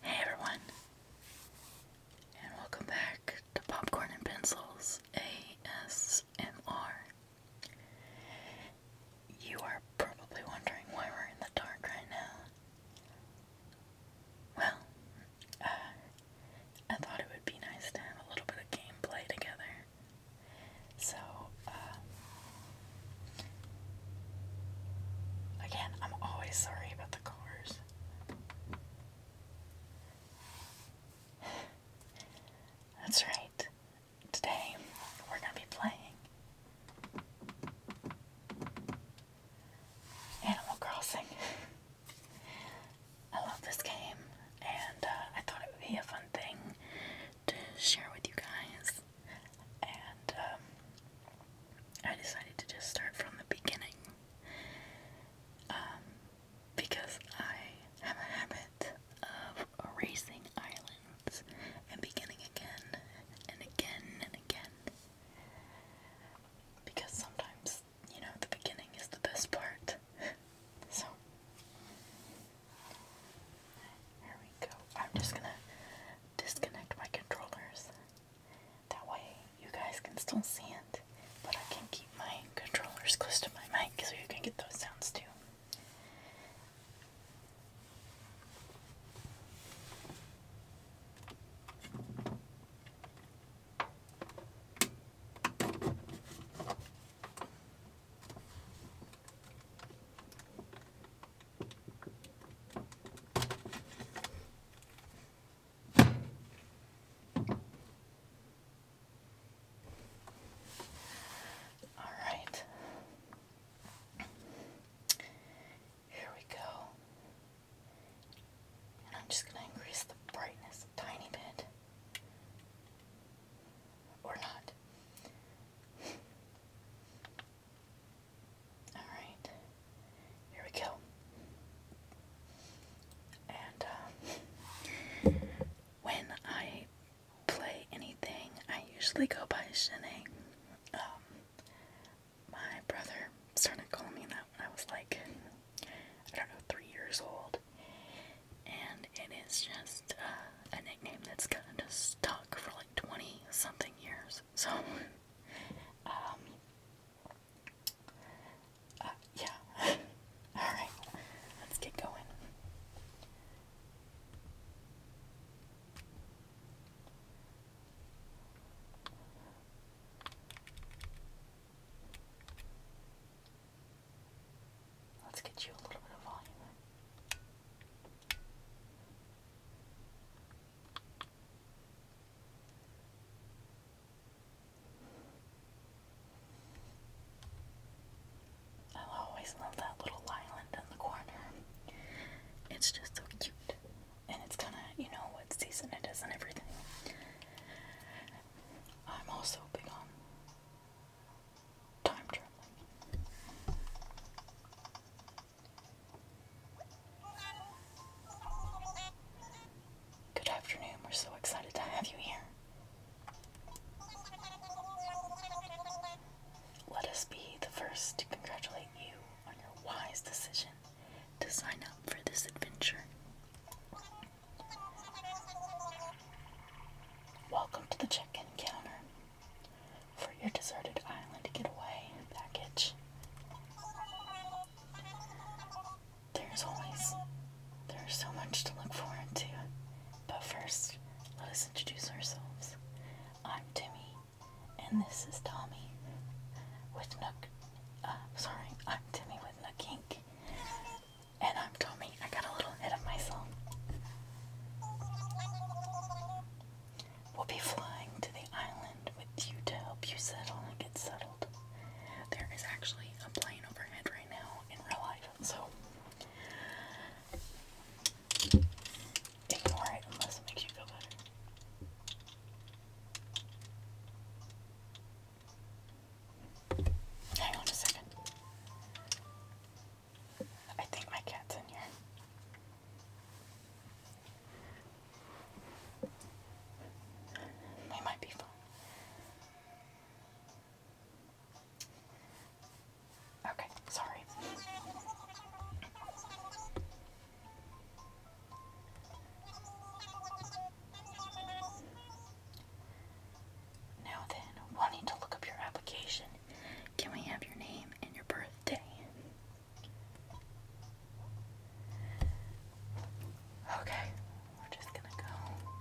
Hey everyone, and welcome back to Popcorn and Pencils ASMR. You are probably wondering why we're in the dark right now. Well, uh, I thought it would be nice to have a little bit of gameplay together. So, uh, again, I'm always sorry about the cars. That's right. Today, we're going to be playing Animal Crossing. I love this game, and uh, I thought it would be a fun thing to share with you guys. And um, I decided to just start from the beginning um, because I have a habit of erasing islands and beginning again and again and again. Because sometimes you know, the beginning is the best part. so, here we go. I'm just gonna disconnect my controllers. That way, you guys can still see it, but I can keep my controllers close to my mic so you can get those sounds too. All right. Here we go. And I'm just going to increase the brightness a tiny bit. Or not. Alright. Here we go. And uh, when I play anything, I usually go by Shanae. Um, my brother started calling me that. I was like, I don't know, three years old. And it is just uh, a nickname that's kind of stuck for like 20 something years. So, um, uh, yeah. Alright, let's get going. Let's get you a little bit of volume in. I always love that little island in the corner. It's just so cute. And it's kind of, you know, what season it is and everything. I'm also big on time travel. Good afternoon, we're so excited to have you here. Let us be the first to congratulate you on your wise decision to sign up for this adventure. Welcome to the check-in counter. For your deserted island getaway package. There's always there's so much to look forward to. But first, let us introduce ourselves. I'm Timmy, and this is Tommy with Nook. Uh, sorry, I'm Timmy with Nook Inc. And I'm Tommy. I got a little ahead of myself. We'll be flying to the island with you to help you settle and get settled. There is actually a plane overhead right now in real life, so ignore it unless it makes you feel better. Hang on a second. I think my cat's in here. They might be fun. Okay, sorry. Now then, wanting to look up your application, can we have your name and your birthday? Okay, we're just gonna go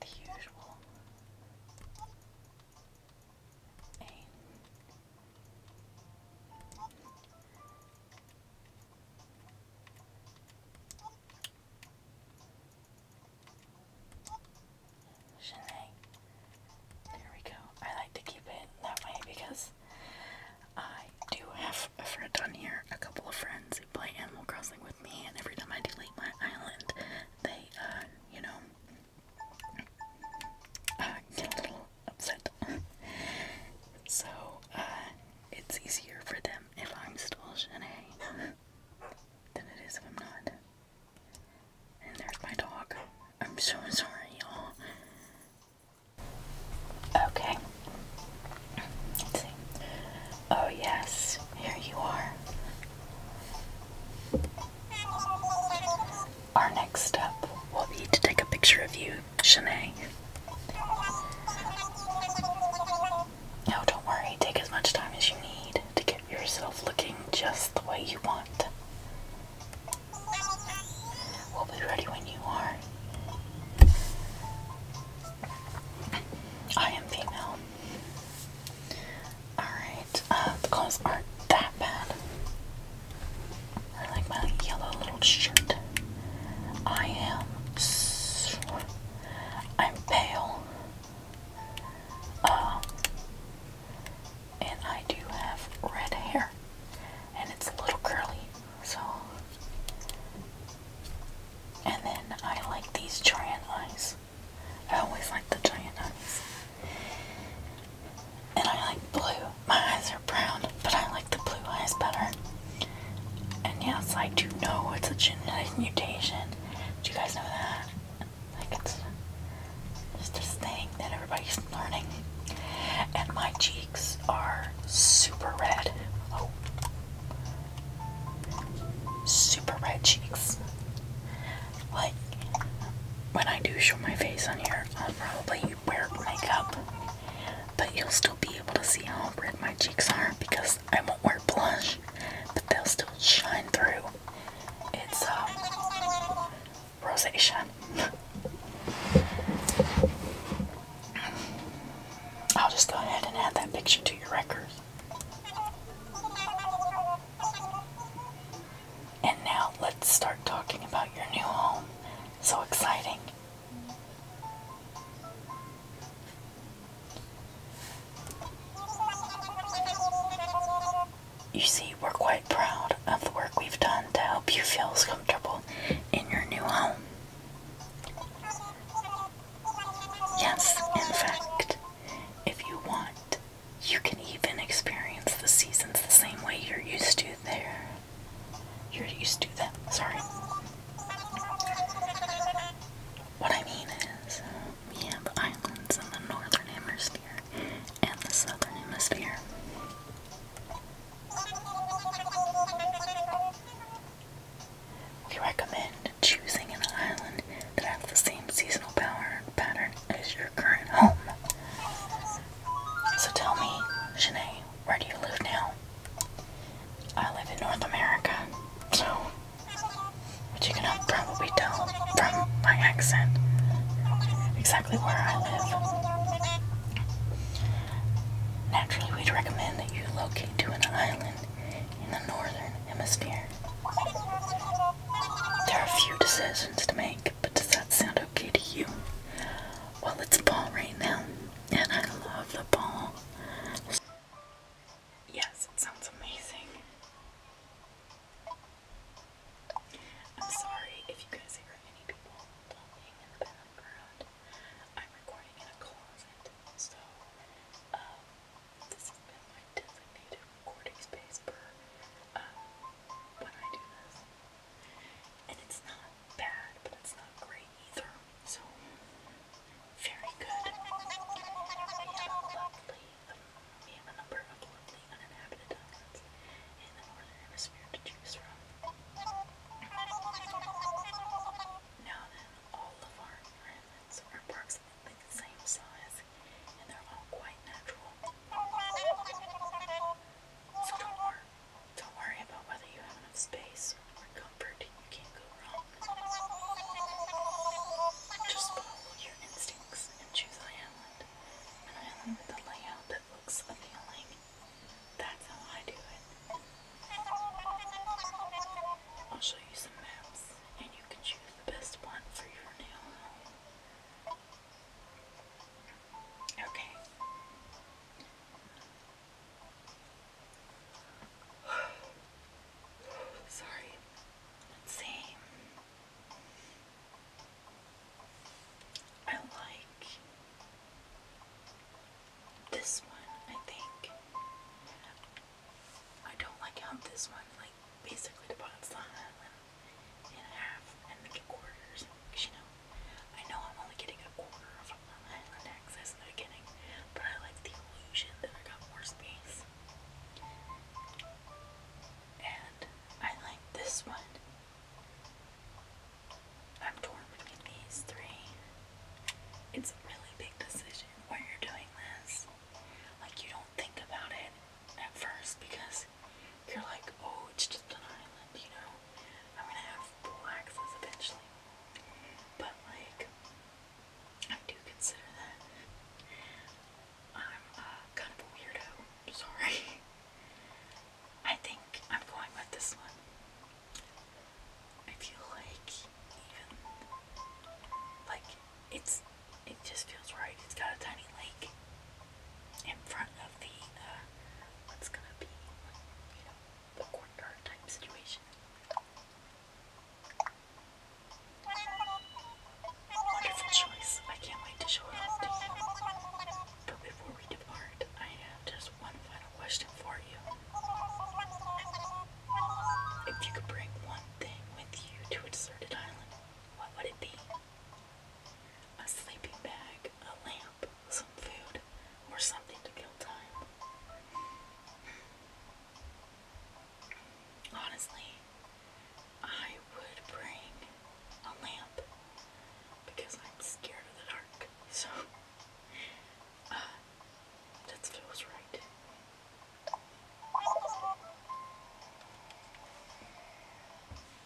the usual. Eight. Shanae. There we go. I like to keep it that way because I do have a friend on here, a couple of friends who play Animal Crossing with me, and every time I delete my island, they, uh, you know, I get a little upset. so, uh, it's easier for them if I'm still Shanae than it is if I'm not. And there's my dog. I'm so sorry, y'all. Okay. Oh, yes, here you are. Our next step will be to take a picture of you, Shanae. No, don't worry, take as much time as you need to get yourself looking just the way you want. We'll be ready when you are. I am female. Alright, uh, the clothes aren't that bad. I like my yellow little shirt. I am. I'm pale. Um, and I do have red hair. And it's a little curly, so. And then I like these giant eyes. I always like the giant eyes, And I like blue. My eyes are brown, but I like the blue eyes better. And yeah, it's like, do you know it's a genetic mutation? Do you guys know that? Like, it's just this thing that everybody's learning. And my cheeks are super red. Oh. Super red cheeks like when I do show my face on here, I'll probably wear makeup, but you'll still be able to see how red my cheeks are because I won't wear blush, but they'll still shine through. It's uh, rosacea. I'll just go ahead and add that picture to your record. And now let's start talking about your new home. So exciting! You see, we're quite proud of the work we've done to help you feel as comfortable in your new home. Yes, in fact, if you want, you can even experience the seasons the same way you're used to there. You're used to them, sorry. What I mean is, we have islands in the northern hemisphere and the southern hemisphere. We recommend choosing an island that have the same seasonal power pattern as your current home. So tell me, Shanae, where do you live now? I live in North America, so which you can probably tell from my accent exactly where I live. Naturally, we'd recommend that you locate to an island in the northern hemisphere. There are a few decisions to make, but does that sound okay to you? Well, it's ball right now, and I love the ball. Yes, it sounds amazing. I'm sorry if you guys hear any people talking in the background. I'm recording in a closet, so um, this has been my designated recording per um, when I do this. And it's not bad, but it's not great either. So, very good. We have a lovely, um, uninhabited islands the northern hemisphere to choose from. Now then, all of our islands are parks approximately the same size and they're all quite natural. So don't worry, don't worry about whether you have enough space or comfort. You can't go wrong. Just follow your instincts and choose an island. An island with a layout that looks appealing. That's how I do it. I'll show you some maps and you can choose the best one for your nail home. Okay. Sorry. Let's see. I like this one, I think. I don't like how this one like basically divides the island in half and make it quarters. Cause you know, I know I'm only getting a quarter of the island access in the beginning, but I like the illusion that I got more space. And I like this one. I'm torn between these three. It's a really big decision when you're doing this. Like, you don't think about it at first because you're like, oh, it's just an island, you know? I'm gonna have pool access eventually. But like, I do consider that. I'm uh, kind of a weirdo. Sorry. I think I'm going with this one. I feel like like it's it just feels right. It's got a tiny lake in front of the uh, what's gonna be, the corner type situation. Wonderful choice. I can't wait to show it off to you. But before we depart, I have just one final question for you. If you could bring one thing with you to a island, what would it be? a sleeping bag, a lamp, some food, or something to kill time. Honestly, I would bring a lamp because I'm scared of the dark. So, uh, that feels right.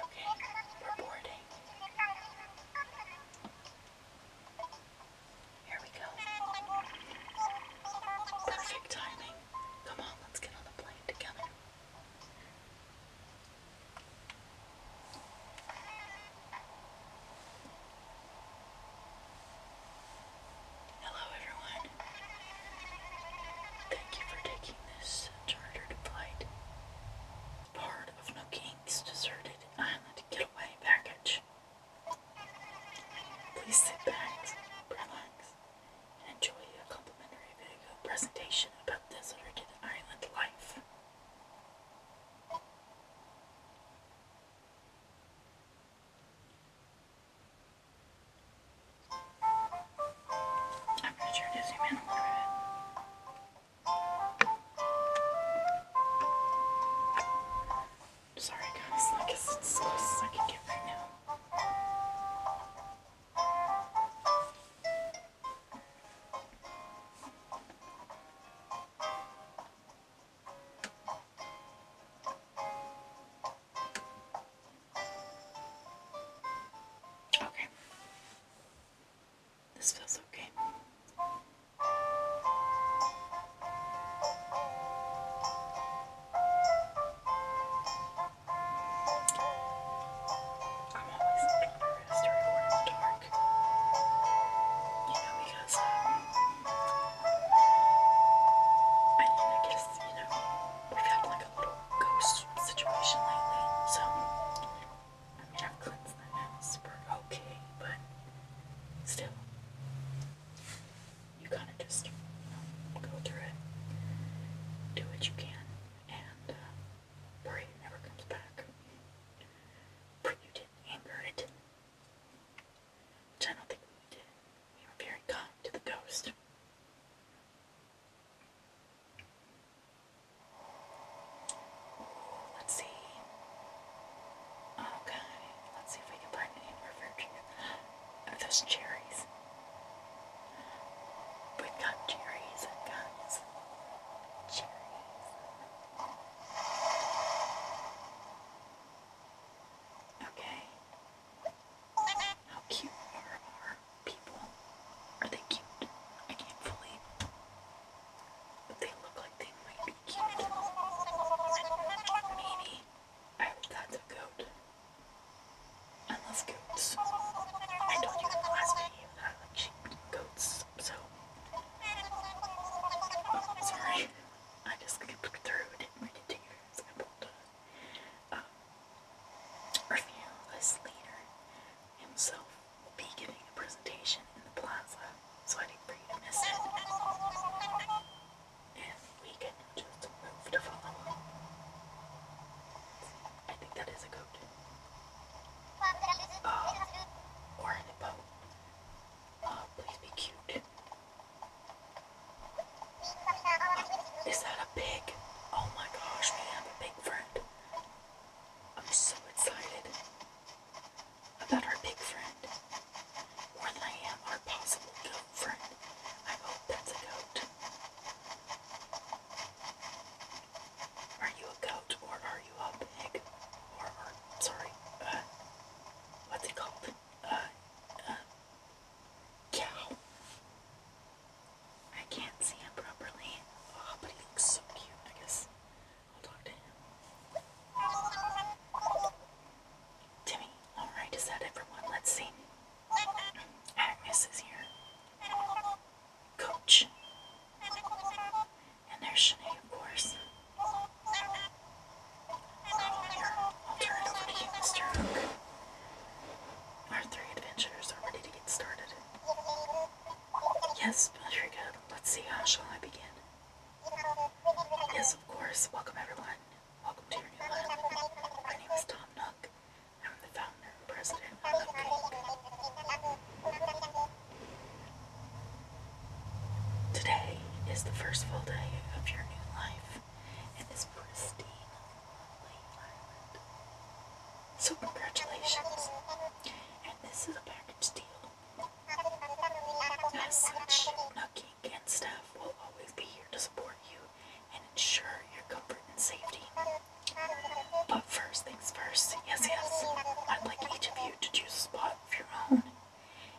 Okay, we're boarding. Here we go. Perfect timing. Come on, let's get on the plane together. Hello, everyone. Thank you for taking this chartered flight. Part of no kings, deserted island getaway package. Please sit back, relax, and enjoy a complimentary video presentation about deserted island life. I'm going to turn to zoom in Sorry guys, I guess it's as close as I can get right now. Okay. This feels okay. I'm always nervous to record in the dark. You know, because um, I guess, you know, we've had like a little ghost situation lately, so I mean, I've cleansed the house for okay, but still, you kind of just, go through it, do what you can, and uh, pray it never comes back. Pray you didn't anger it, which I don't think we did. We were very kind to the ghost. Let's see. Okay, oh, let's see if we can find any more virtue. Are those cherries? we got cherries and guns. Cherries. Okay. How cute are our people? Are they cute? I can't fully but they look like they might be cute. Maybe I hope that's a goat. I love goats. I told you in the last video that I like sheep goats, so oh, sorry. I just clicked through, didn't read it to you guys. I pulled a um, review of this leader himself be giving a presentation in the plaza, so I didn't for to miss it. And we can just move to follow. I think that is a goat. Uh, or a hippo. Uh, please be cute. Is that a pig? Oh my gosh, we have friend. I'm so excited about our big friend. Or lamb, our possible goat friend. I hope that's a goat. Are you a goat or are you a pig? Or, or sorry, uh, what's it called? Uh, uh, cow. I can't see him properly. Oh, but he looks so cute, I guess. Timmy, alright, is that everyone? Let's see. Agnes here. Coach. And there's Shanae, of course. here, I'll turn it over to you, Mr. Hook. Our three adventurers are ready to get started. Yes, very good. Let's see, how shall I begin? Yes, of course. Welcome, everyone. Welcome to your new life. My name is Tom Nook. I'm the founder and president of Cupcake. Today is the first full day of your new life in this pristine, lovely island. So congratulations. And this is a package deal. As Nucky and staff will always be here to support you and ensure your comfort and safety. But first things first, yes, yes, I'd like each of you to choose a spot of your own.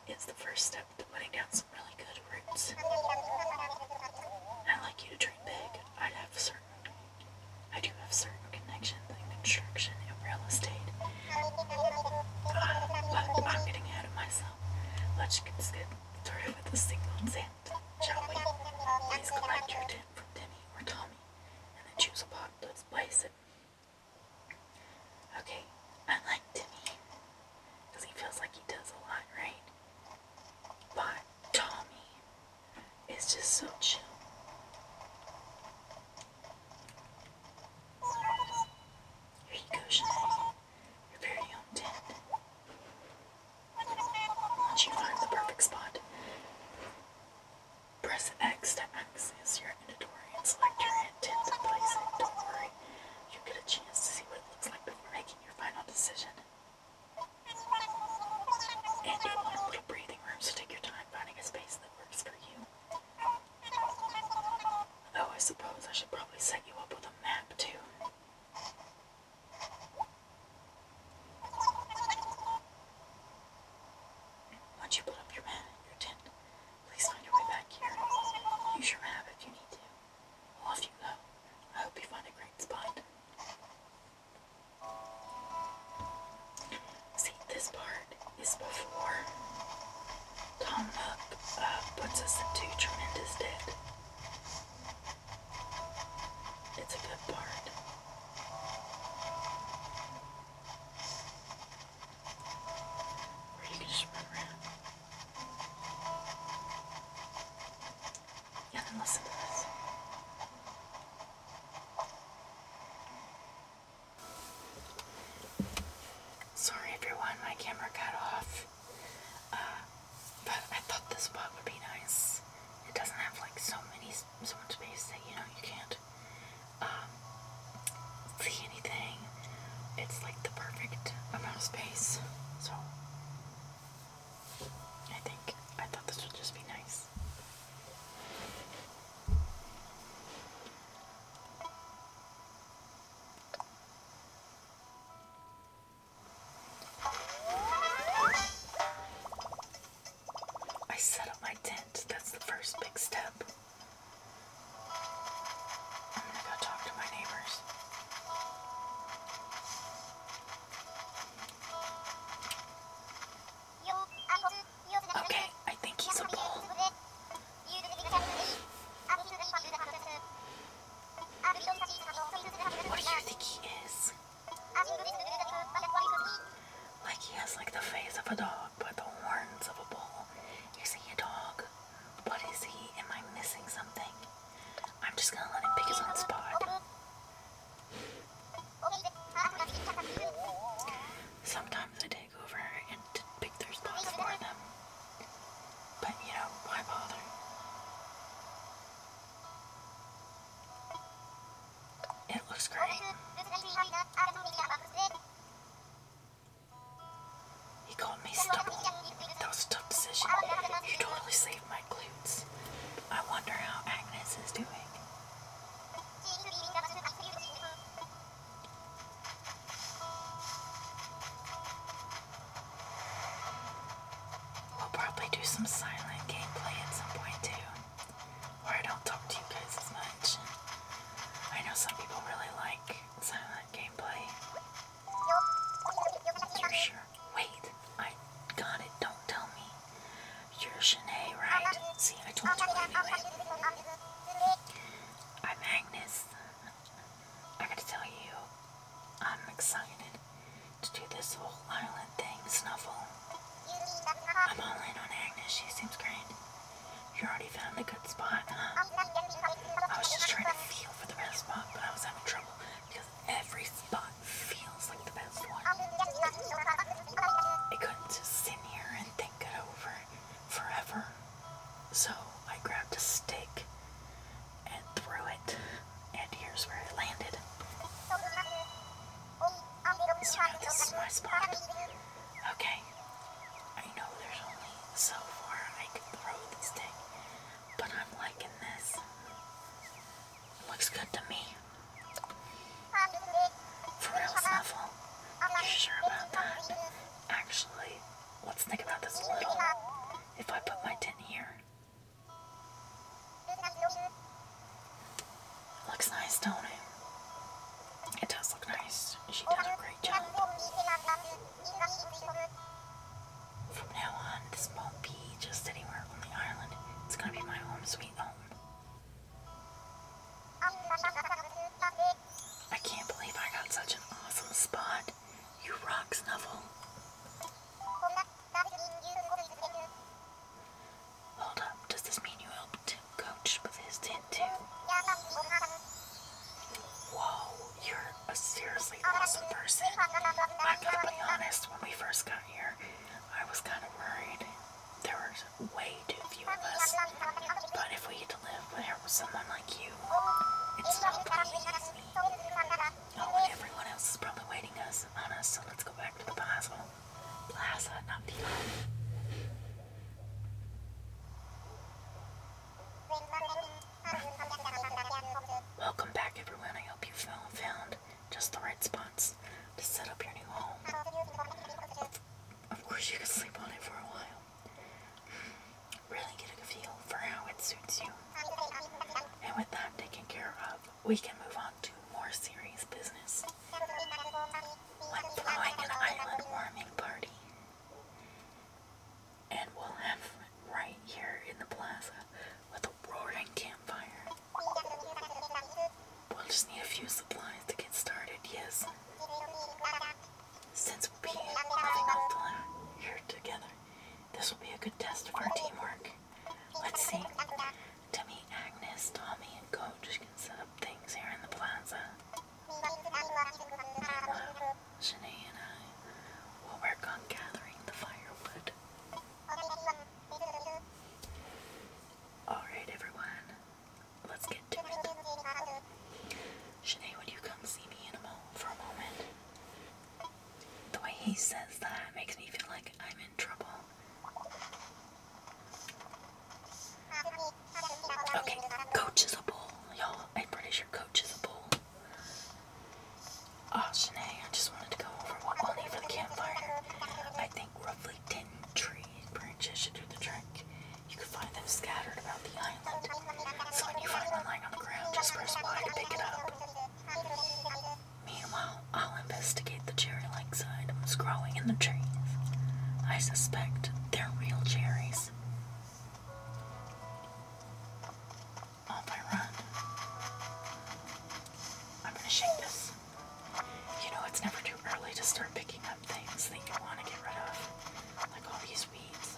It's the first step to putting down some really good roots. i like you to dream big. i have certain I do have certain connections in construction and real estate. but I'm getting ahead of myself. Let's get started with a single tint, shall we? Please collect your tint from Timmy or Tommy and then choose a pot to place it. Okay, I like Timmy because he feels like he does a lot, right? But Tommy it's just so chill. Here you go, Shanae. Your very own Once you find the perfect spot, press X to access your inventory and select your tent to place it. Don't worry, you get a chance to see what it looks like before making your final decision. And you want little breathing room, so take your time finding a space that Oh, I suppose I should probably set you up with a map, too. Once you put up your mat in your tent, please find your way back here. Use your map if you need to. off you go. I hope you find a great spot. See, this part is before Tom Nook uh, puts us into tremendous debt. It's a good part. Or you can just run around. Yeah, then listen to this. Sorry everyone, my camera cut off. Uh, but I thought this spot would be nice. It doesn't have like so many, so much space that you know you can't um, see anything. It's like the perfect amount of space. So I think I thought this would just be nice. I set up my tent. That's the first big step. I'm gonna go talk to my neighbors. Okay, I think he's a bull. What do you think he is? Like he has like the face of a dog, but the horns of a bull. Is he a dog? What is he? Am I missing something? I'm just gonna let him pick his own spot. Sometimes I take over and pick their spots for them. But you know, why bother? It looks great. He called me stubble. That was a You totally saved my glutes. I wonder how Agnes is doing. We'll probably do some silent gameplay at some point too, where I don't talk to you guys as much. I know some people really like silent gameplay. For sure. Wait, I got it. Don't tell me. You're Shanae, right? See, I told you I'm Agnes. I gotta tell you, I'm excited to do this whole island thing, Snuffle. I'm all in on Agnes, she seems great. You already found a good spot, I was just trying to feel for the best spot, but I was having trouble because every spot feels like the best one. I couldn't just sit here and think it over forever. So I grabbed a stick and threw it, and here's where I landed. this is my spot. Okay, I know there's only so far I can throw this thing, but I'm liking this. looks good to me. For real, Snuffle. You sure about that? Actually, let's think about this a little. If I put my tin here. It looks nice, don't it? It does look nice. She does a great job. From now on, this won't be just anywhere on the island. It's gonna be my home sweet home. I can't believe I got such an awesome spot. You rock, Snuffle. Hold up, does this mean you helped coach with his tin Whoa, you're a seriously awesome person. I gotta be honest, when we first got here, I was kind of worried. There were way too few of us. But if we get to live there with someone like you, it's not pretty Oh, everyone else is probably waiting us on us, so let's go back to the plaza. Plaza, not the Welcome back everyone. I hope you found just the right spots to set up your new home. Of course, you can sleep on it for a while. Really get a feel for how it suits you. And with that taken care of, we can move on to more serious business. I'm throwing an island warming party. And we'll have right here in the plaza with a roaring campfire. We'll just need a few supplies to get started, yes? Since we'll be living all the here together, this will be a good test of our teamwork. Let's see. Timmy, Agnes, Tommy, and Coach can set up things here in the plaza. Meanwhile, and I will work on gathering the firewood. Alright, everyone let's get to it. Shanae, would you come see me in a moment for a moment? The way he says that makes me feel like I'm in trouble. Okay, Coach is a bull, y'all. I'm pretty sure Coach is a bull. Oh, Shanae, I just wanted to go over what we'll need for the campfire. I think roughly 10 tree branches should do the trick. You can find them scattered about the island. So when you find one lying on the ground, just press Y to pick it up. Meanwhile, I'll investigate the cherry-like items growing in the trees. I suspect they're real cherries. Off I run. I'm gonna shake this. You know, it's never too early to start picking up things that you want to get rid of, like all these weeds.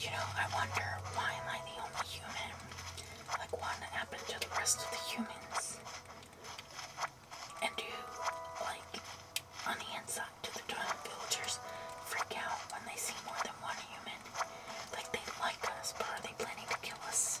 You know, I wonder why am I the only human? Like, what happened to the rest of the humans? And do, like, on the inside, do the toilet villagers freak out when they see more than one human? Like, they like us, but are they planning to kill us?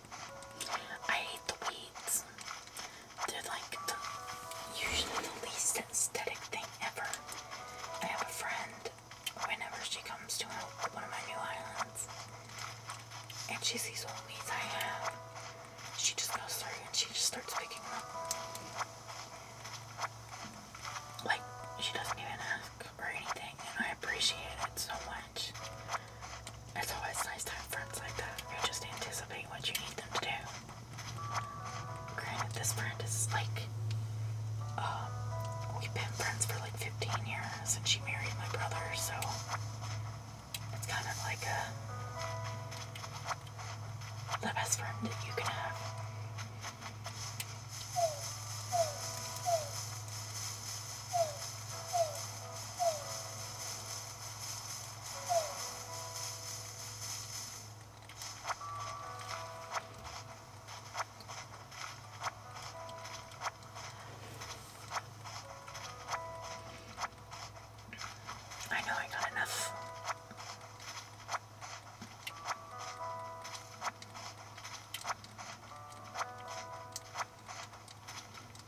I hate the weeds. They're like usually the least aesthetic thing ever. I have a friend whenever she comes to one of my new islands and she sees all the weeds I have, she just goes through and she just starts picking them up. Like, she doesn't even ask or anything, and I appreciate it so much. It's always nice to have friends like that You just anticipate what you need them to do. Granted, this friend is like, um, we've been friends for like 15 years and she married my brother, so it's kind of like the best friend that you can have. I know I got enough.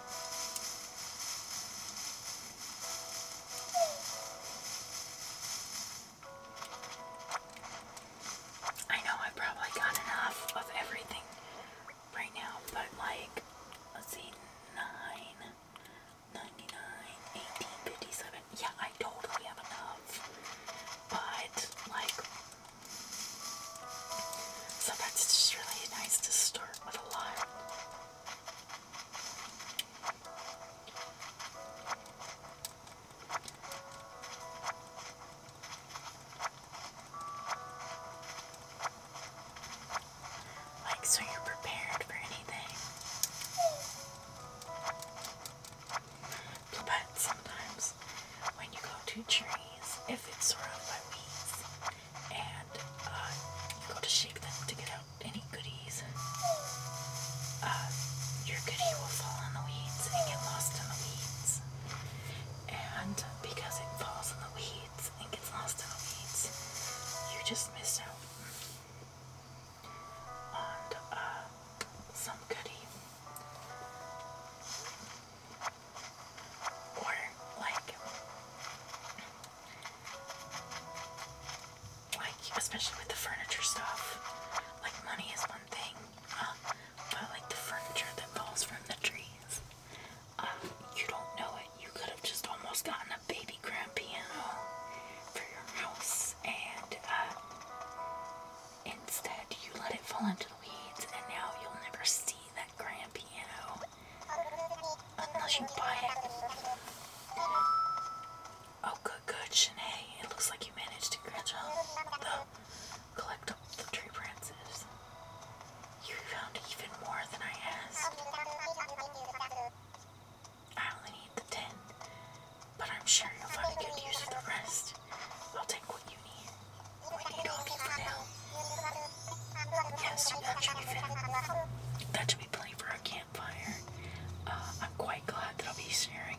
I know I probably got enough of everything right now, but like, let's see, 9, Yeah, I totally have enough, but like, Sometimes it's just really nice to start with a lot. Like, so you're prepared for anything. But sometimes when you go to trees, if it's sort of by and uh, you go to shake them to get out any goodies. Uh, your goodie will fall on the weeds and get lost in the weeds. And because it falls in the weeds and gets lost in the weeds, you just miss out on uh, some goodie or like like especially with the furniture stuff like money is one thing uh, but like the furniture that falls from the trees um, you don't know it you could have just almost gotten a baby grand piano for your house and uh, instead you let it fall into the weeds and now you'll never see that grand piano Unless you buy it. Oh, good, good, Shanae. It looks like you managed to catch up the collectible the tree branches. You found even more than I asked. I only need the ten, but I'm sure you'll find a good use for the rest. I'll take what you need. Yes, that should be fun. That should be playing for our campfire. Uh, I'm quite glad that I'll be sharing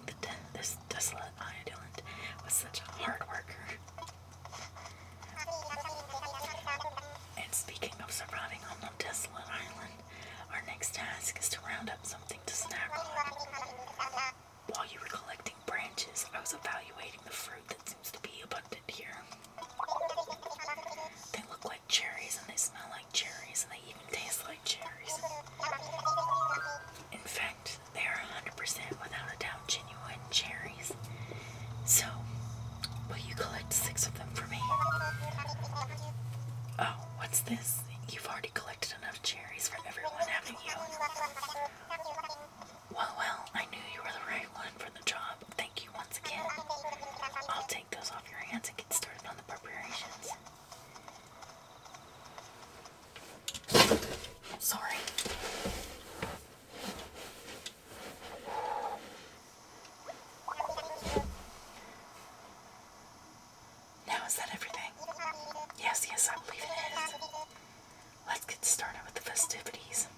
this desolate island with such a hard worker. And speaking of surviving on the desolate island, our next task is to round up something to snack on. While you were collecting branches, I was evaluating the fruit that seems to be abundant here. They look like cherries and they smell like cherries and they even taste like cherries. In fact, they are 100% without a doubt genuine cherries. So, will you collect six of them for me? Oh, what's this? You've already collected enough cherries for everyone, haven't you? Well, well, I knew you were the right one for the job. Thank you once again. I'll take those off your hands and get started on the preparations. Sorry. Now, is that everything? Yes, yes, I believe it is let's get started with the festivities.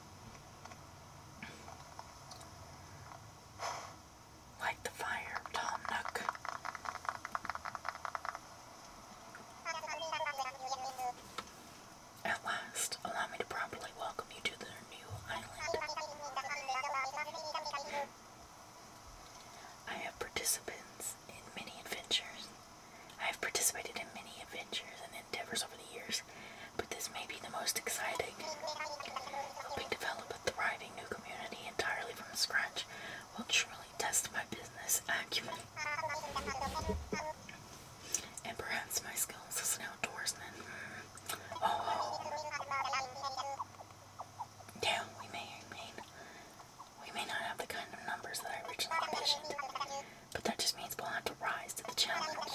Light the fire, Tom Nook. At last, allow me to properly welcome you to their new island. I have participants in many adventures. I have participated in many adventures over the years, but this may be the most exciting. Helping develop a thriving new community entirely from scratch will truly test my business acumen and perhaps my skills as an outdoorsman. Oh, yeah, we may, we may not have the kind of numbers that I originally envisioned but that just means we'll have to rise to the challenge.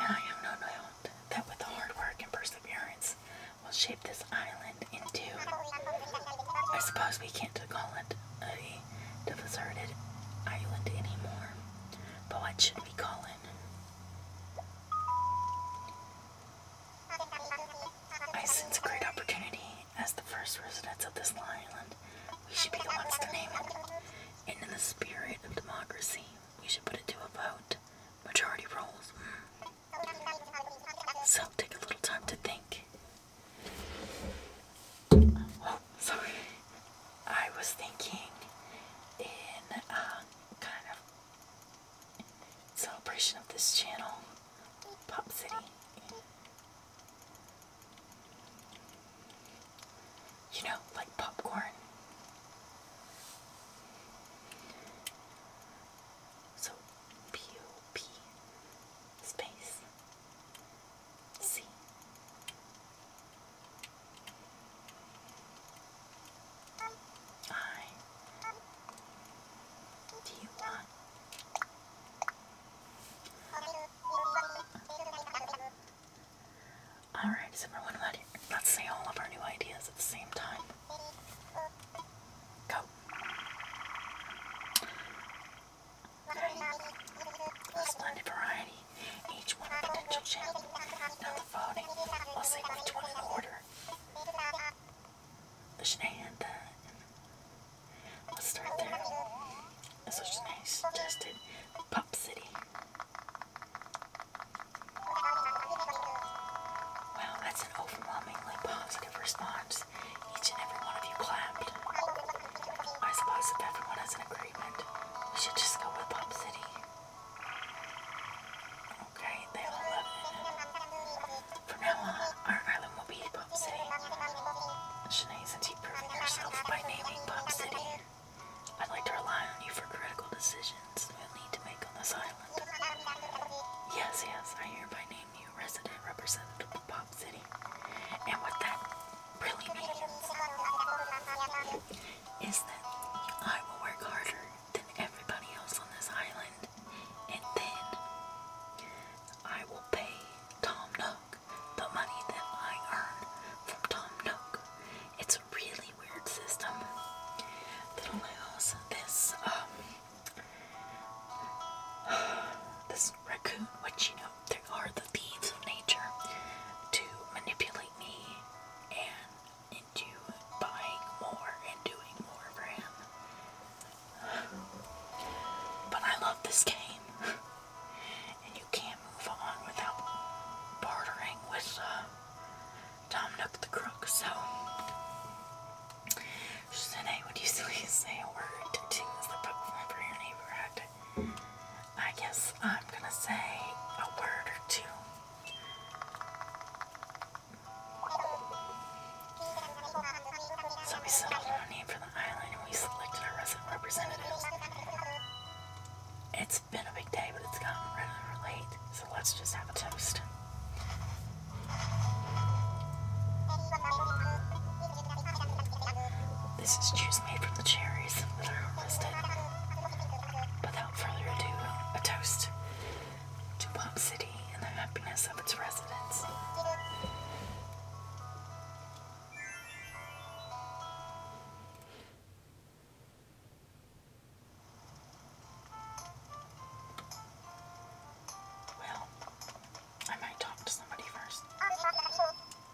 And I have no doubt that with hard work and perseverance, we'll shape this island into, I suppose we can't call it a deserted island anymore, but what should we call it? I sense a great opportunity as the first residents of this island. We should be the ones to name it and in the spirit of democracy, we should put it to a vote. Majority rules. Mm. So take a little time to think. Oh, sorry. I was thinking in uh, kind of celebration of this channel, Pop City. You know, like popcorn. So P O P space C. I do Alright, so everyone, let's say all of our new ideas at the same time. Go. splendid variety, each one potential champ. Now voting, we'll say each one in order. let's start there. So Shanae suggested Pop City. Wow, that's an overwhelmingly positive response. Each and every one of you clapped. I suppose if everyone has an agreement, we should just go with Pop City. Okay, they all love it. From now on, our island will be Pop City. Shanae, since you proved yourself by naming Pop City. I'd like to rely on you for critical decisions we'll need to make on this island. Yes, yes, I hereby name you resident representative of Pop City. And what that really means is that I will work harder than everybody else on this island. And then I will pay Tom Nook the money that I earn from Tom Nook it's a really weird system. That allows this um, this raccoon, which you know there are the thieves of nature, to manipulate me and into buying more and doing more for him. But I love this game. And you can move on without bartering with uh, Dominic the Crook. So she would you please say a word to the Book for your neighborhood? I guess I'm gonna say a word or two. So we settled on a name for the island and we selected our resident representatives. It's it's been a big day, but it's gotten rather late, so let's just have a toast. This is juice made from the cherries that I harvested. Without further ado, a toast to Pop City and the happiness of its residents. Well, I might talk to somebody first.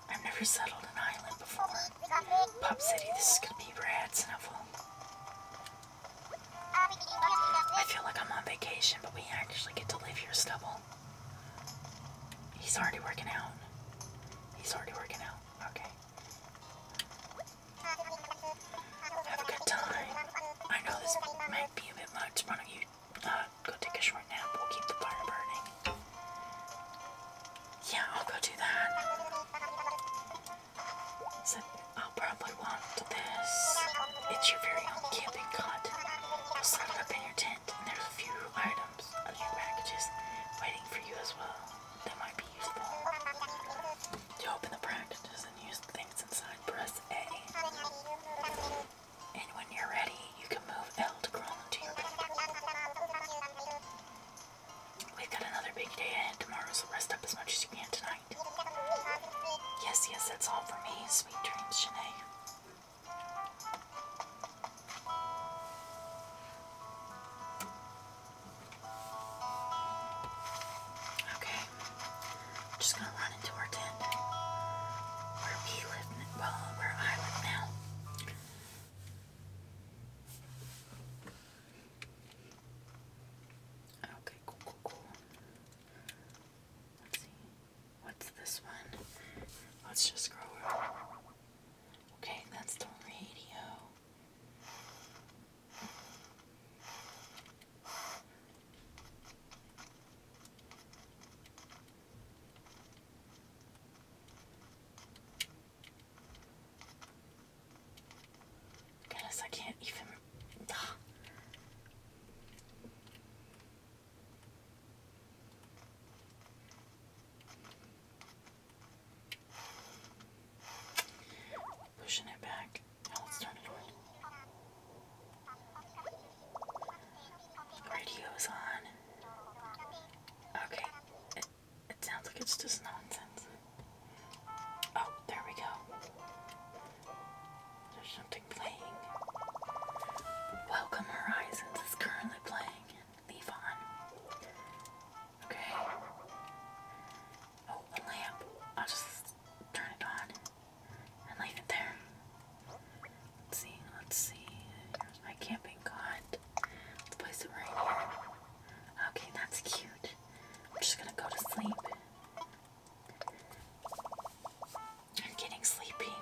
I've never settled an island before. Oh, Pop City, this is gonna be rad snuffle. I feel like I'm on vacation, but we actually get to live here stubble. He's already working out. He's already working out. Okay. Have a good time. I know this might be a bit much. Why don't you uh, go take a short nap? We'll keep the fire burning. Yeah, I'll go do that. So I'll probably want this. It's your very own camping cot. set it up in your tent, and there's a few items, a few packages waiting for you as well. To open the packages and use things inside, press A. And when you're ready, you can move L to crawl into your We've got another big day ahead tomorrow, so rest up as much as you can tonight. Yes, yes, that's all for me. Sweet dreams, Shanae. Okay, I'm just gonna run into our tent where we live, well, where I live now. Okay, cool, cool, cool. Let's see. What's this one? Let's just scroll. Okay, that's the radio. Goodness, I can't even. Pushing it back. Now let's turn it on. Radio's on. Okay. It, it sounds like it's just nonsense. Oh, there we go. There's something playing. Welcome Horizons is currently playing leave on. Okay. Oh, a lamp. I'll just turn it on and leave it there. see, let's see. my camping cot. Let's place it right here. Okay, that's cute. I'm just gonna go to sleep. I'm getting sleepy.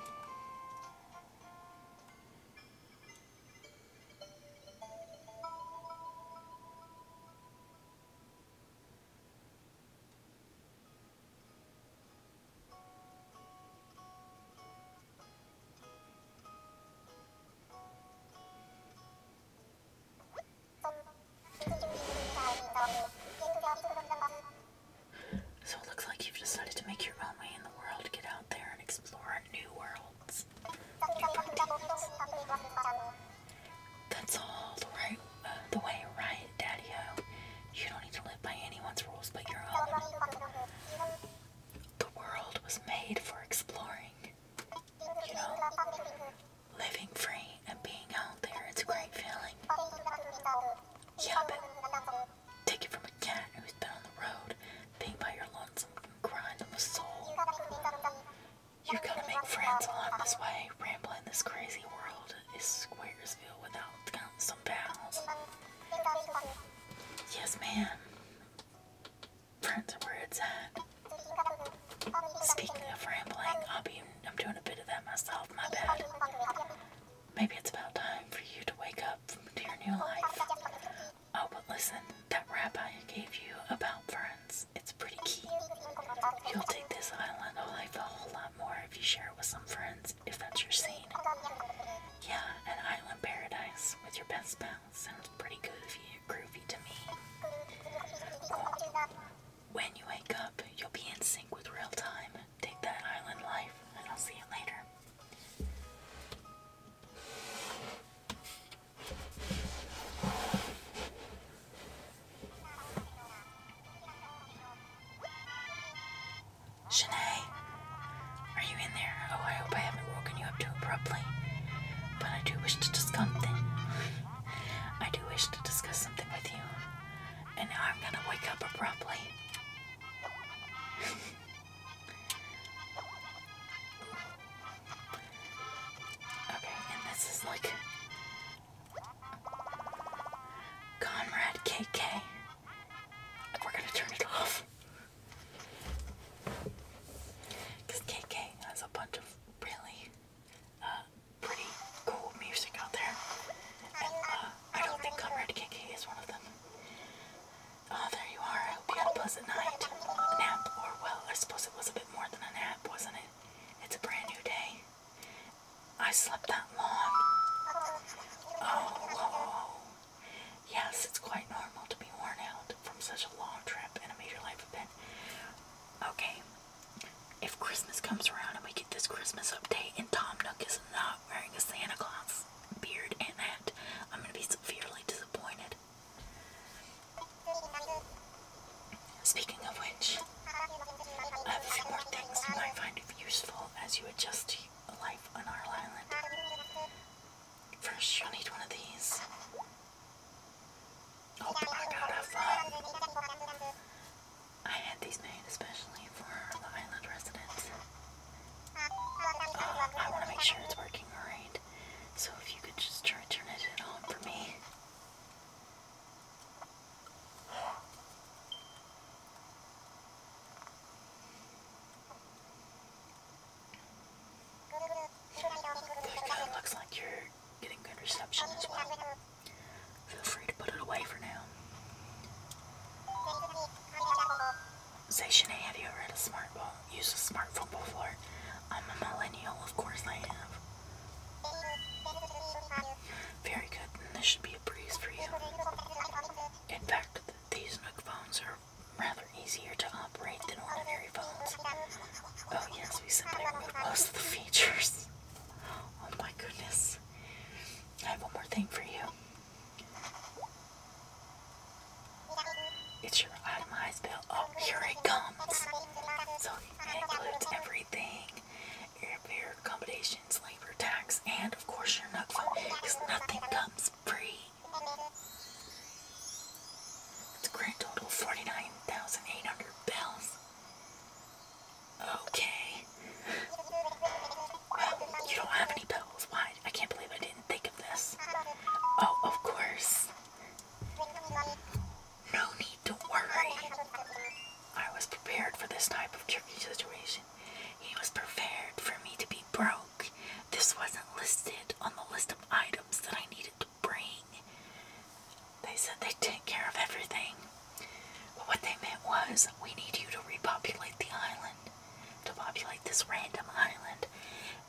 So it looks like you've decided to make your own way in the world, get out there and explore new worlds. That's all the right uh, the way, right, Daddy O? You don't need to live by anyone's rules but your own. The world was made for exploring. You know, living free and being out there, it's a great feeling. Yeah, but take it from a cat who's been on the road, being by your lonesome and crying the soul. You're gonna make friends along this way. Rambling this crazy world is Squaresville without some pals. Yes, ma'am. Friends are where Speaking of rambling, I'll be, I'm doing a bit of that myself, my bad. Maybe it's about time for you to wake up to your new life. Oh, but listen, that rabbi gave you about friends, it's pretty key. You'll take this island life a whole lot more if you share it with some friends, if that's your scene. Yeah, an island paradise with your best pals sounds pretty goofy, groovy to me. when you wake up, you'll be in sync with real time. Take that island life, and I'll see you later. Shanae, are you in there? Oh, I hope I haven't woken you up too abruptly. But I do wish to discuss something. I do wish to discuss something with you. And now I'm gonna wake up abruptly. Okay, and this is like Conrad KK. We're gonna turn it off. Because KK has a bunch of really uh, pretty cool music out there. And uh, I don't think Conrad KK is one of them. Oh, there you are. I had a pleasant night. Nap, or well, I suppose it was a bit more than a nap, wasn't it? It's a brand new day. I slept that long. oh, yes, it's quite normal to be worn out from such a long trip and a major life event. Okay, if Christmas comes around and we get this Christmas update and Tom Nook is not wearing a Santa Claus beard and hat, I'm gonna be severely disappointed. Speaking of which, I have a few more things you might find useful as you adjust to life on our island. First, you'll need one of these. Oh my god, I love I had these made especially for the island residents. Uh, I want to make sure it's working right. So if you could just try turn it on for me. Good, good. Looks like you're getting good reception as well. Feel free to put it away for now. Say, Shanae, you ever had a smart ball? do use a smartphone before? I'm a millennial, of course I have. Very good, and this should be a breeze for you. In fact, these Nook phones are rather easier to operate than ordinary phones. Oh yes, we simply removed most of the features. Oh my goodness. I have one more thing for you. It's your itemized bill. Oh, here it comes. So it includes everything airfare, accommodations, labor, tax, and of course your NUCFA because nothing comes free. It's a grand total of 49,800 bells. Okay. Well, you don't have any bells. Why? I can't believe I didn't think of this. Oh, of course. No need to worry. I was prepared for this type of tricky situation. He was prepared for me to be broke. This wasn't listed on the list of items that I needed to bring. They said they'd take care of everything. But what they meant was we need you to repopulate the island, to populate this random island,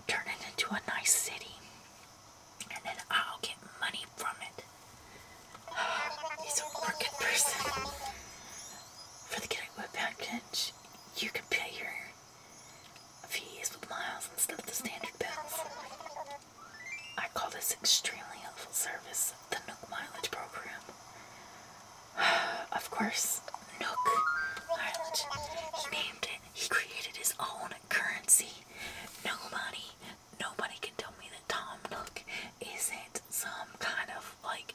turn it into a nice city and then I'll get money from it. He's a working person. For the getaway package, you can pay your fees with miles instead of the standard bills. I call this extremely helpful service the Nook Mileage Program. of course, Nook Mileage. He named it, he created his own currency. Nobody, nobody can tell me that Tom Nook isn't some kind of like,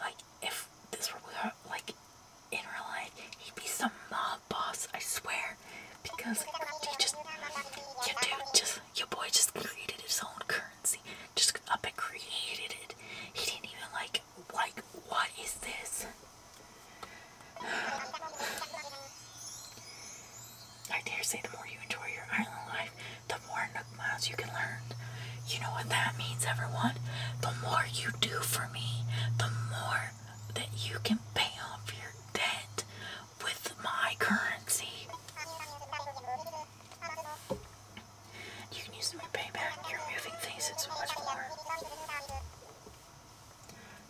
like if this were like in real life, he'd be some mob boss. I swear, because he just, you dude, just your boy just created his own currency. Just up and created it. He didn't even like like what is this? I dare say the more you enjoy your island life, the more Nook Miles you can learn. You know what that means, everyone? The more you do for me, the more that you can pay off your debt with my currency. You can use them to pay back your moving things so much more.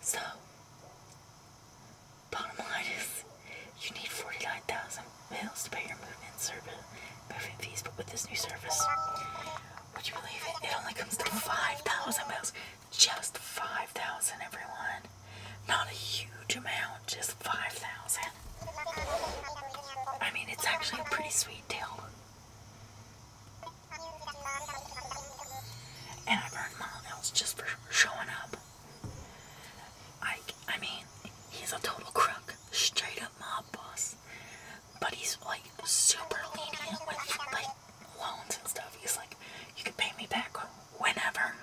So, Bottom line is, you need 49,000 miles to pay your moving service, movement fees, but with this new service, would you believe it? It only comes to 5,000 miles, Just 5,000, everyone. Not a huge amount, just 5,000. I mean, it's actually a pretty sweet deal. And I burned my just for showing up. I, I mean, he's a total crook, straight up mob boss. But he's like super lenient with like loans and stuff. He's like, you can pay me back whenever.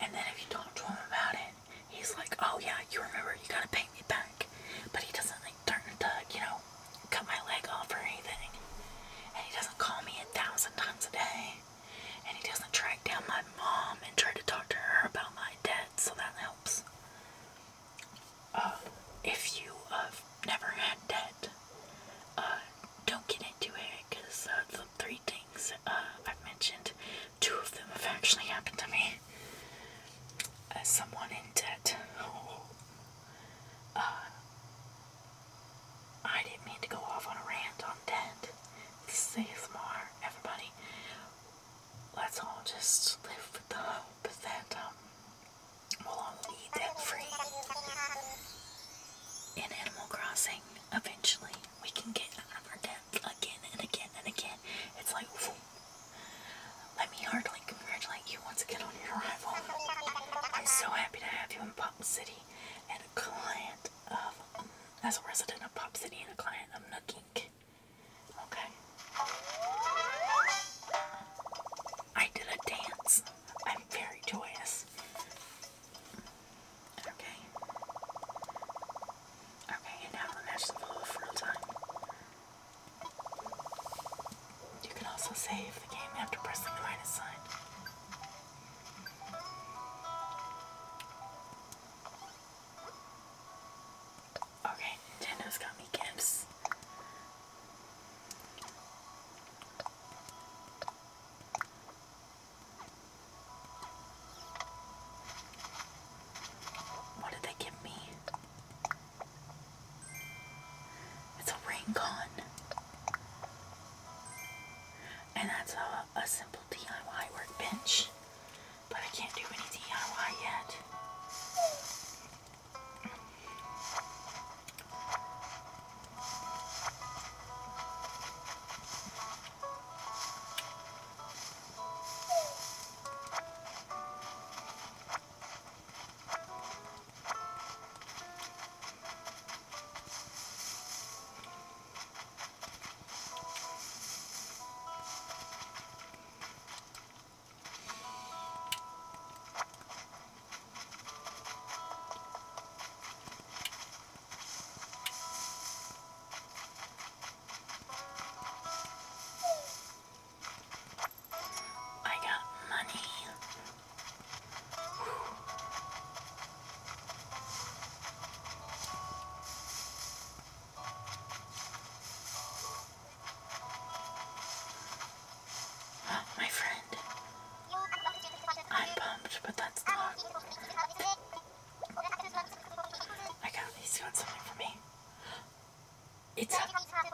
And then if you talk to him about it, he's like, oh yeah, you remember, you gotta pay me back. But he doesn't like turn a tuck, you know, cut my leg off or anything. And he doesn't call me a thousand times a day and he doesn't track down my mom and try to talk to her about my debt, so that helps. Uh, if you have uh, never had debt, uh, don't get into it because the three things I've mentioned, two of them have actually happened to me. As someone in debt, I didn't mean to go off on a rant on debt. This is everybody. Let's all just live with the hope that um, we'll all be debt free. In Animal Crossing, eventually we can get out of our debt again and again and again. It's like, let me heartily congratulate you once again on your arrival. I'm so happy to have you in Pop City, client of, um, as a resident of Pop City and a client of Nook Inc. Okay. I did a dance. I'm very joyous. Okay. Okay, and now the match the flow of real time. You can also save the game after pressing the minus sign. Okay, Nintendo's got me gifts. What did they give me? It's a ring and that's a, simple DIY workbench. But I can't do any DIY yet. I got money my friend, I'm pumped, but that's the lot. I got he's got something for me. It's a, a cap.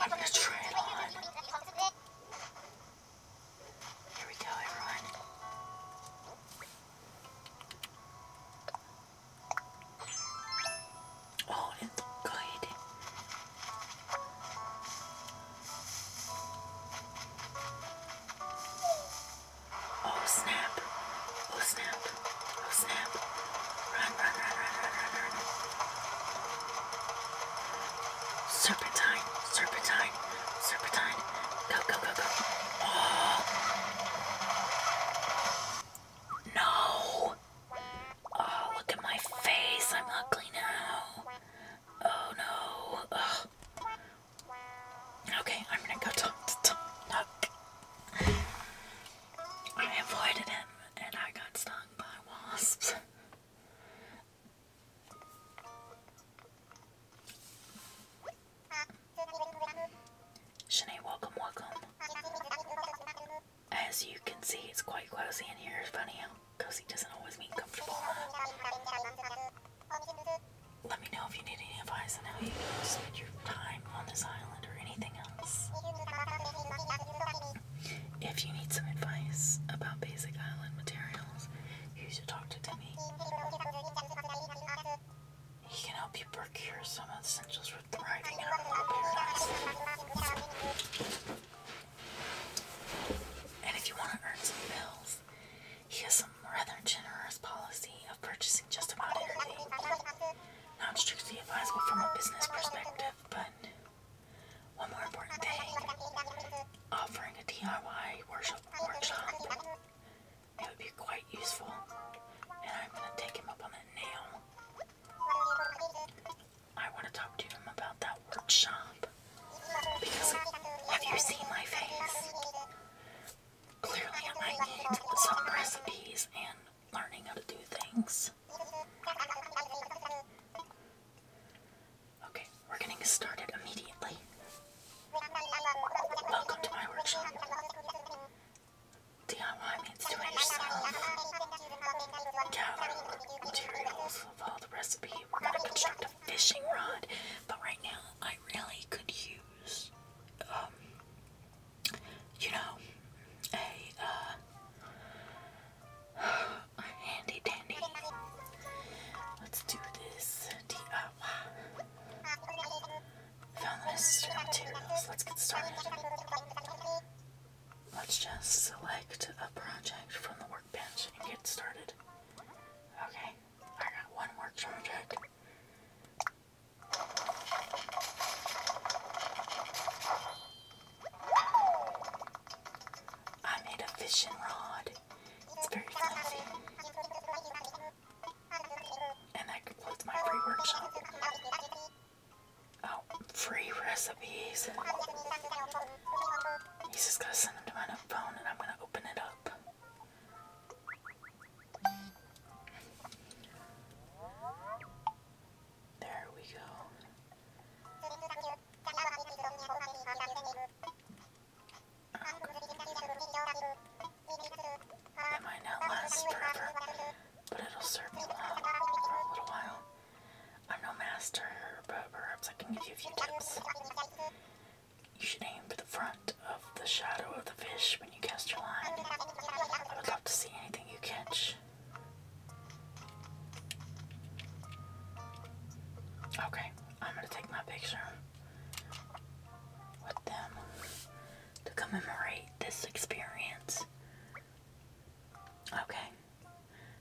I'm gonna try it on. Here we go, everyone. Oh, it good. Oh snap! Oh snap! Oh snap! Run! Run! Run! Run! Run! Run! Run! Serpentine, serpentine, serpentine. Go, go, go, go. Oh. No. Oh, look at my face. I'm ugly now. Oh, no. Ugh. Okay, I'm gonna go talk to Tom. Look. I avoided him and I got stung by wasps. Shanae, welcome, welcome. As you can see, it's quite cozy in here. It's funny how cozy doesn't always mean comfortable. Let me know if you need any advice on how you can spend your time on this island or anything else. If you need some advice about basic island materials, He's a doctor to me. He can help you procure some essentials for thriving And if you want to earn some bills, he has some rather generous policy of purchasing just about anything. Not strictly advisable from a business perspective, but one more important thing offering a DIY worship workshop. It would be quite useful, and I'm going to take him up on that now. I want to talk to him about that workshop because have you seen my face? Clearly, I need some recipes and learning how to do things. Okay, we're gonna started immediately. Welcome to my workshop. DIY means do it yourself. Gather materials, follow the recipe. We're gonna construct a fishing rod, but right now I really could use, um, you know, a, uh, handy dandy. Let's do this DIY. Found the necessary materials. Let's get started. Let's just select a project from the workbench and get started. Okay, I got one work project. I made a fishing rod. It's very fluffy. And that concludes my free workshop. Oh, free recipes. He's just gonna send them to my phone and I'm gonna open it up. There we go. It might not last but it'll serve me well for a little while. I'm no master, but perhaps I can give you a few tips. You should aim for the front of the shadow of the fish when you cast your line. I would love to see anything you catch. Okay, I'm gonna take my picture with them to commemorate this experience. Okay.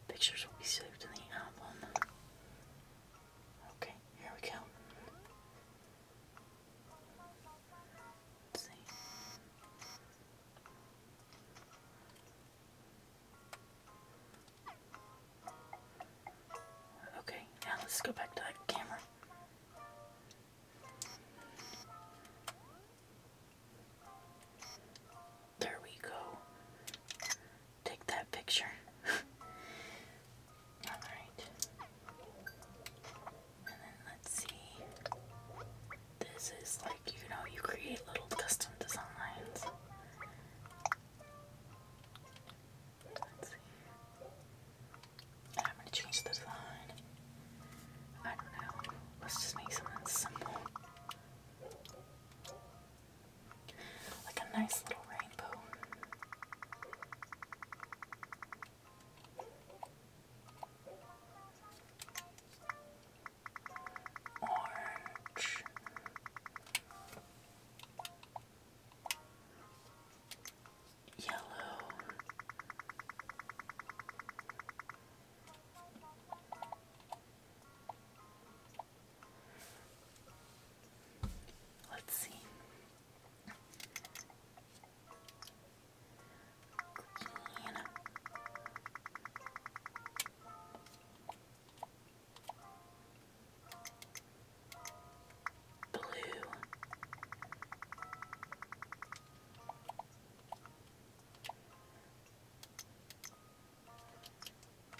Pictures will be saved in the album. Okay, here we go. see. Okay, now let's go back to that camera. There we go. Take that picture. Alright. And then let's see. This is like, you know, you create little custom designs. I'm gonna change the design. I don't know. Let's just make something simple. Like a nice little rainbow. Orange yellow. Let's see. Green blue.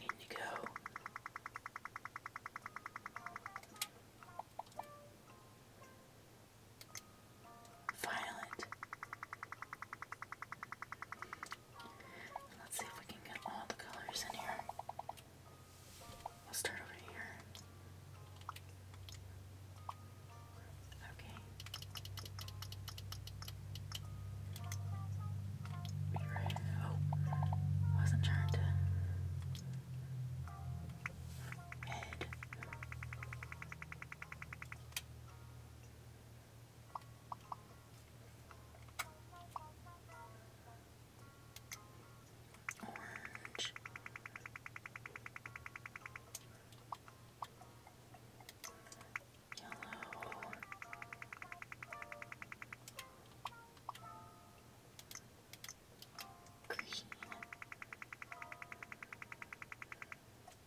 Indigo. Violet. Let's see if we can get all the colors in here. We'll start over here. Okay. Oh, wasn't trying to. Red orange. Yellow. Green.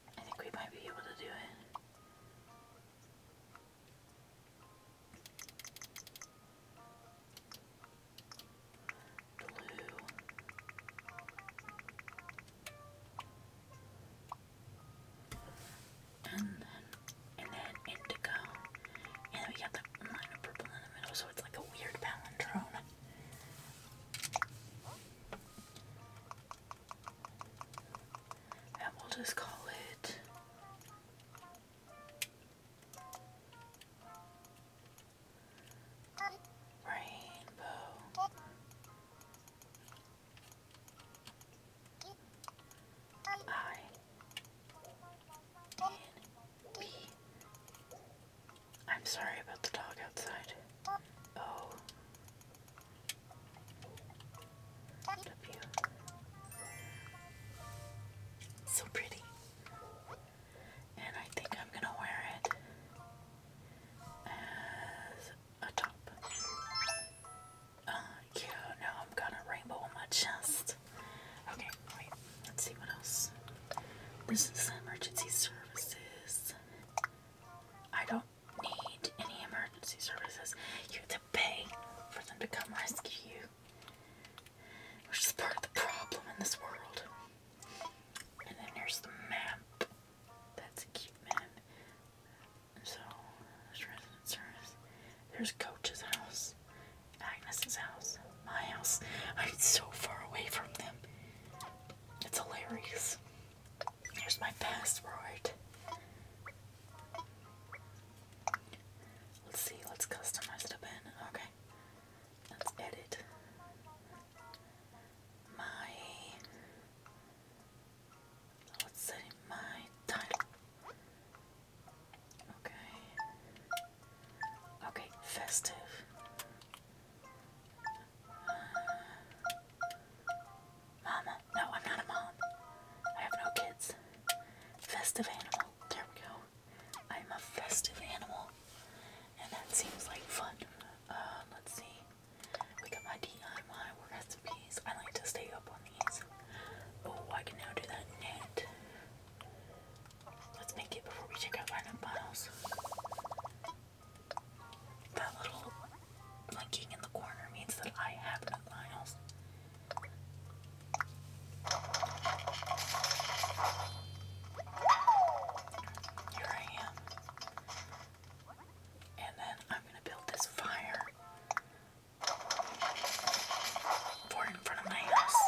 I think we might be able to do it and then and then indigo, and then we got the minor purple in the middle, so it's like a weird palindrome. And we'll just call it Rainbow. I N B. I'm sorry about the dog outside. O oh. W. So pretty. And I think I'm gonna wear it as a top. Oh, uh, cute. Now I'm gonna rainbow on my chest. Okay, Let's see what else. This is emergency services. I don't need any emergency services. You have to pay for them to come rescue you which is part of the problem in this world. And then there's the map. That's a cute map. So, there's resident service. There's Coach's house, Agnes's house, my house. I'm so far away from them. It's hilarious. Here's my password. Let's see, let's customize it a bit. Okay. Let's edit my let's say my title. Okay. Okay, festive. Uh, mama. No, I'm not a mom. I have no kids. Festive animal. There we go. I'm a festive animal, and that seems like fun. Uh, let's see. We got my DIY recipes. I like to stay up on these. Oh, I can now do that knit. Let's make it before we check out lineup bottles. That little blinking in the corner means that I have no miles. Here I am. And then I'm going to build this fire for in front of my house.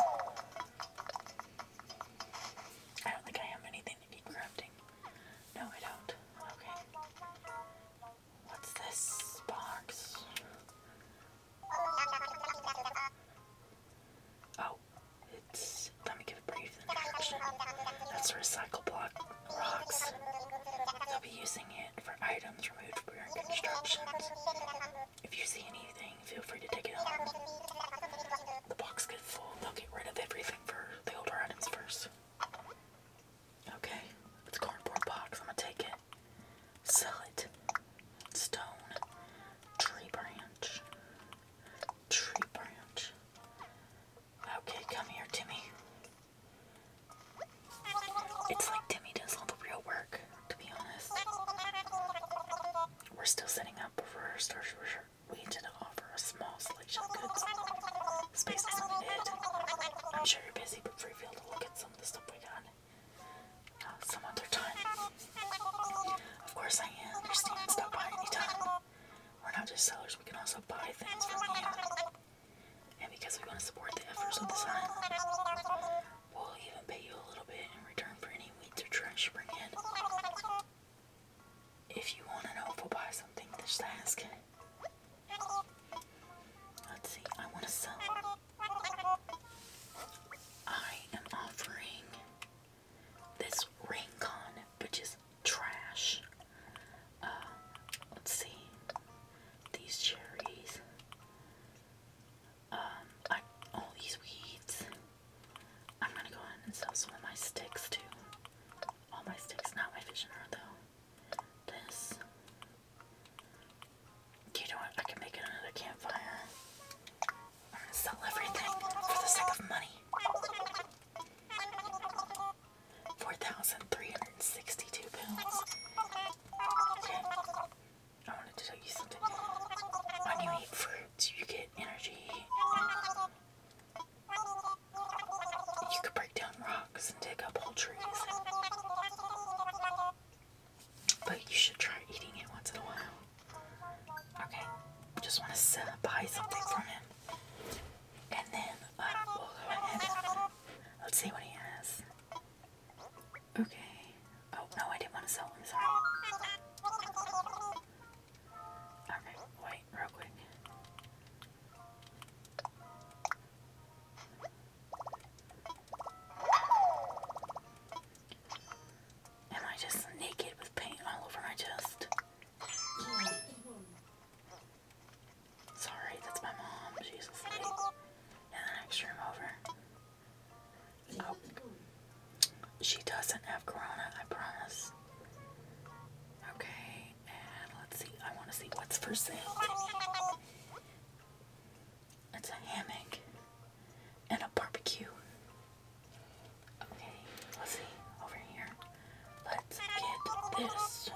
I don't think I have anything to keep crafting. No, I don't. Okay. What's this box? Oh, Let me give a brief introduction. That's recycle block rocks. They'll be using it for items removed from during constructions. If you see anything, feel free to take it home. The box gets full. They'll get rid of everything for the older items first. Okay, it's a cardboard box. I'm gonna take it. Solid stone, tree branch, tree branch. Okay, come here, Timmy. It's like Timmy does all the real work, to be honest. We're still setting up for Star Treasure. We did offer a small selection of goods. Space is limited. I'm sure you're busy, but free feel to look at some of the stuff we got. Uh, some other time. Of course, I am. understand. Stop by anytime. We're not just sellers, we can also buy things from here. And because we want to support the efforts of the island, we'll even pay you a little bit in return for any weeds or trash you bring in. If you want to know if we'll buy something, just ask. Let's see, I want to sell. I am offering this Rincon, which is trash. Uh, let's see. These cherries. Um, I, all these weeds. I'm gonna go ahead and sell some of my sticks too. All my sticks, not my visioner though. This. Okay, you know what? I can make another campfire. sell everything for the sake of money. 4,362 pounds. Okay. I wanted to tell you something. When you eat fruits, you get energy. You could break down rocks and dig up whole trees but you should try eating it once in a while. Okay, just want to buy something from him, and then uh, we'll go ahead. let's see what he has. Okay. Oh no, I didn't want to sell him. Sorry. Okay, wait, real quick. Am I just naked with paint all over my chest? Sorry, that's my mom. She's asleep. And then I stream over. Oh. She doesn't have corona, I promise. Okay, and let's see. I want to see what's for sale. It's a hammock and a barbecue. Okay, let's see. Over here. Let's get this.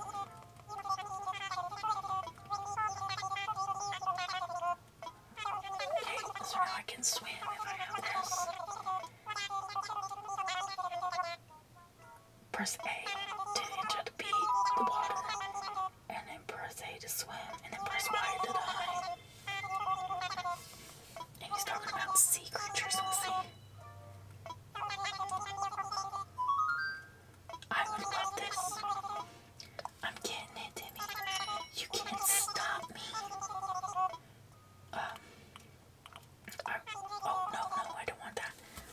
Okay, so now I can swim Press A to enter the beach, water, and then press A to swim, and then press Y to dive he's talking about sea creatures, we I would love this. I'm getting it, Timmy. You can't stop me. Um, oh, no, no, I don't want that.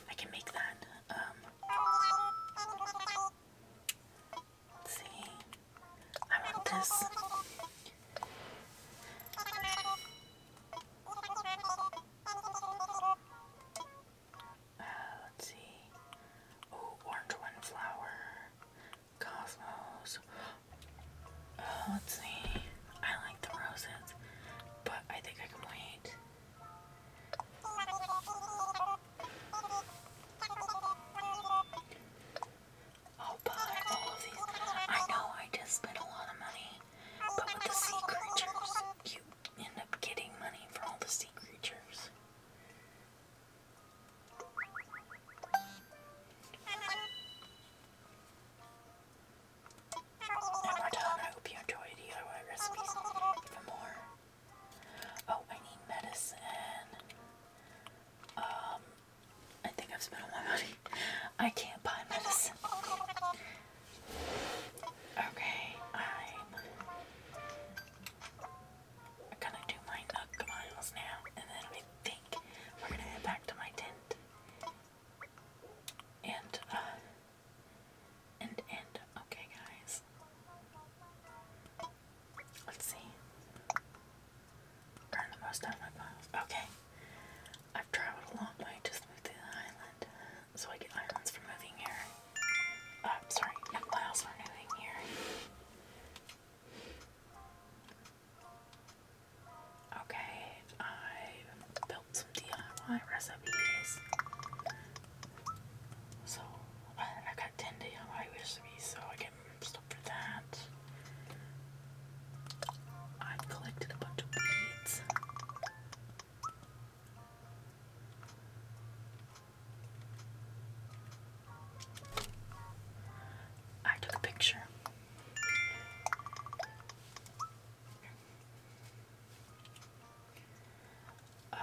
I can make that. Um, Let's see. I want this. Uh, let's see. Oh, orange windflower. Cosmos. Uh, let's see. I like the roses, but I think I can wait. I'll oh, buy all of these. I know I just spent a lot of money, but with the sea creatures, you end up getting money for all the sea creatures. And we I hope you enjoyed DIY recipes. Even more. Oh, I need medicine. Um, I think I've spent all my money. I can't buy medicine. Okay, I'm gonna do my Nook miles now, and then I think we're gonna head back to my tent. And, uh, and, and, okay, guys. Let's see. Earn the most miles. Okay. I've traveled a long way just move to the island. So I get islands for moving here. I'm uh, sorry, miles for moving here. Okay, I built some DIY recipes. So I've got 10 DIY recipes, so I get for that. I collected a bunch of weeds. I took a picture. Uh,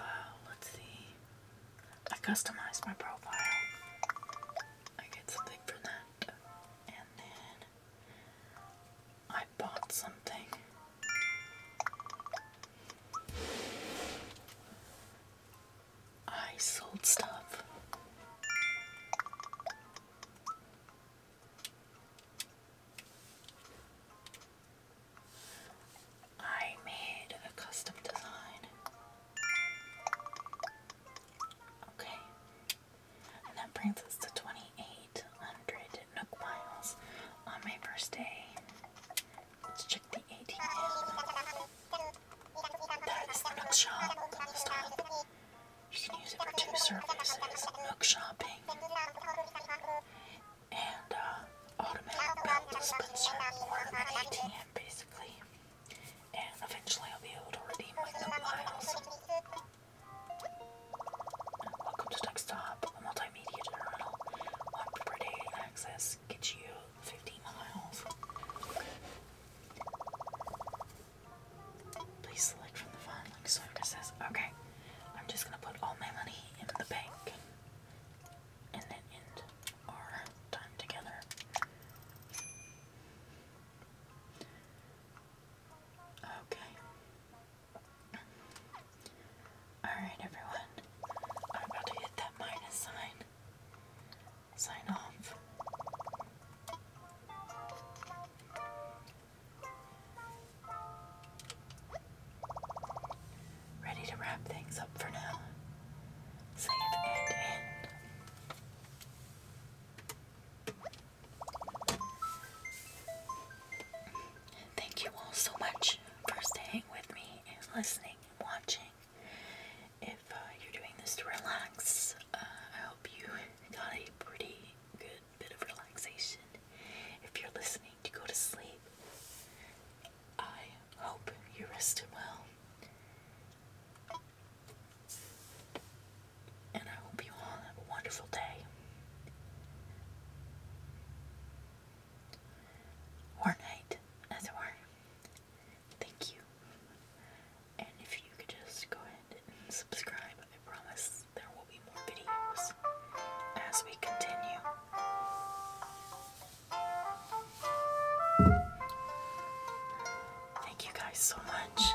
let's see. I customized my profile. I get something for that. And then I bought something. I sold stuff. I made a custom design. Okay. And that brings us to 2,800 Nook miles on my first day. Let's check the ATM. That is the Stop. You can use it for two services Nook Shopping and uh, automatic belt dispenser ATM, basically and eventually I'll be able to redeem my Note miles. Welcome to Desktop, a multimedia journal. One access gets you 50 miles. Please select from the font link okay, I'm just gonna put all my money in the bank and then end our time together. Okay. Alright, everyone. I'm about to hit that minus sign. Sign off. Ready to wrap things up for now. Save and end. Thank you all so much for staying with me and listening and watching. If uh, you're doing this to relax, uh, I hope you got a pretty good bit of relaxation. If you're listening to go to sleep, I hope you rested well. And I hope you all have a wonderful day. Or night, as it were. Thank you. And if you could just go ahead and subscribe, I promise there will be more videos as we continue. Thank you guys so much.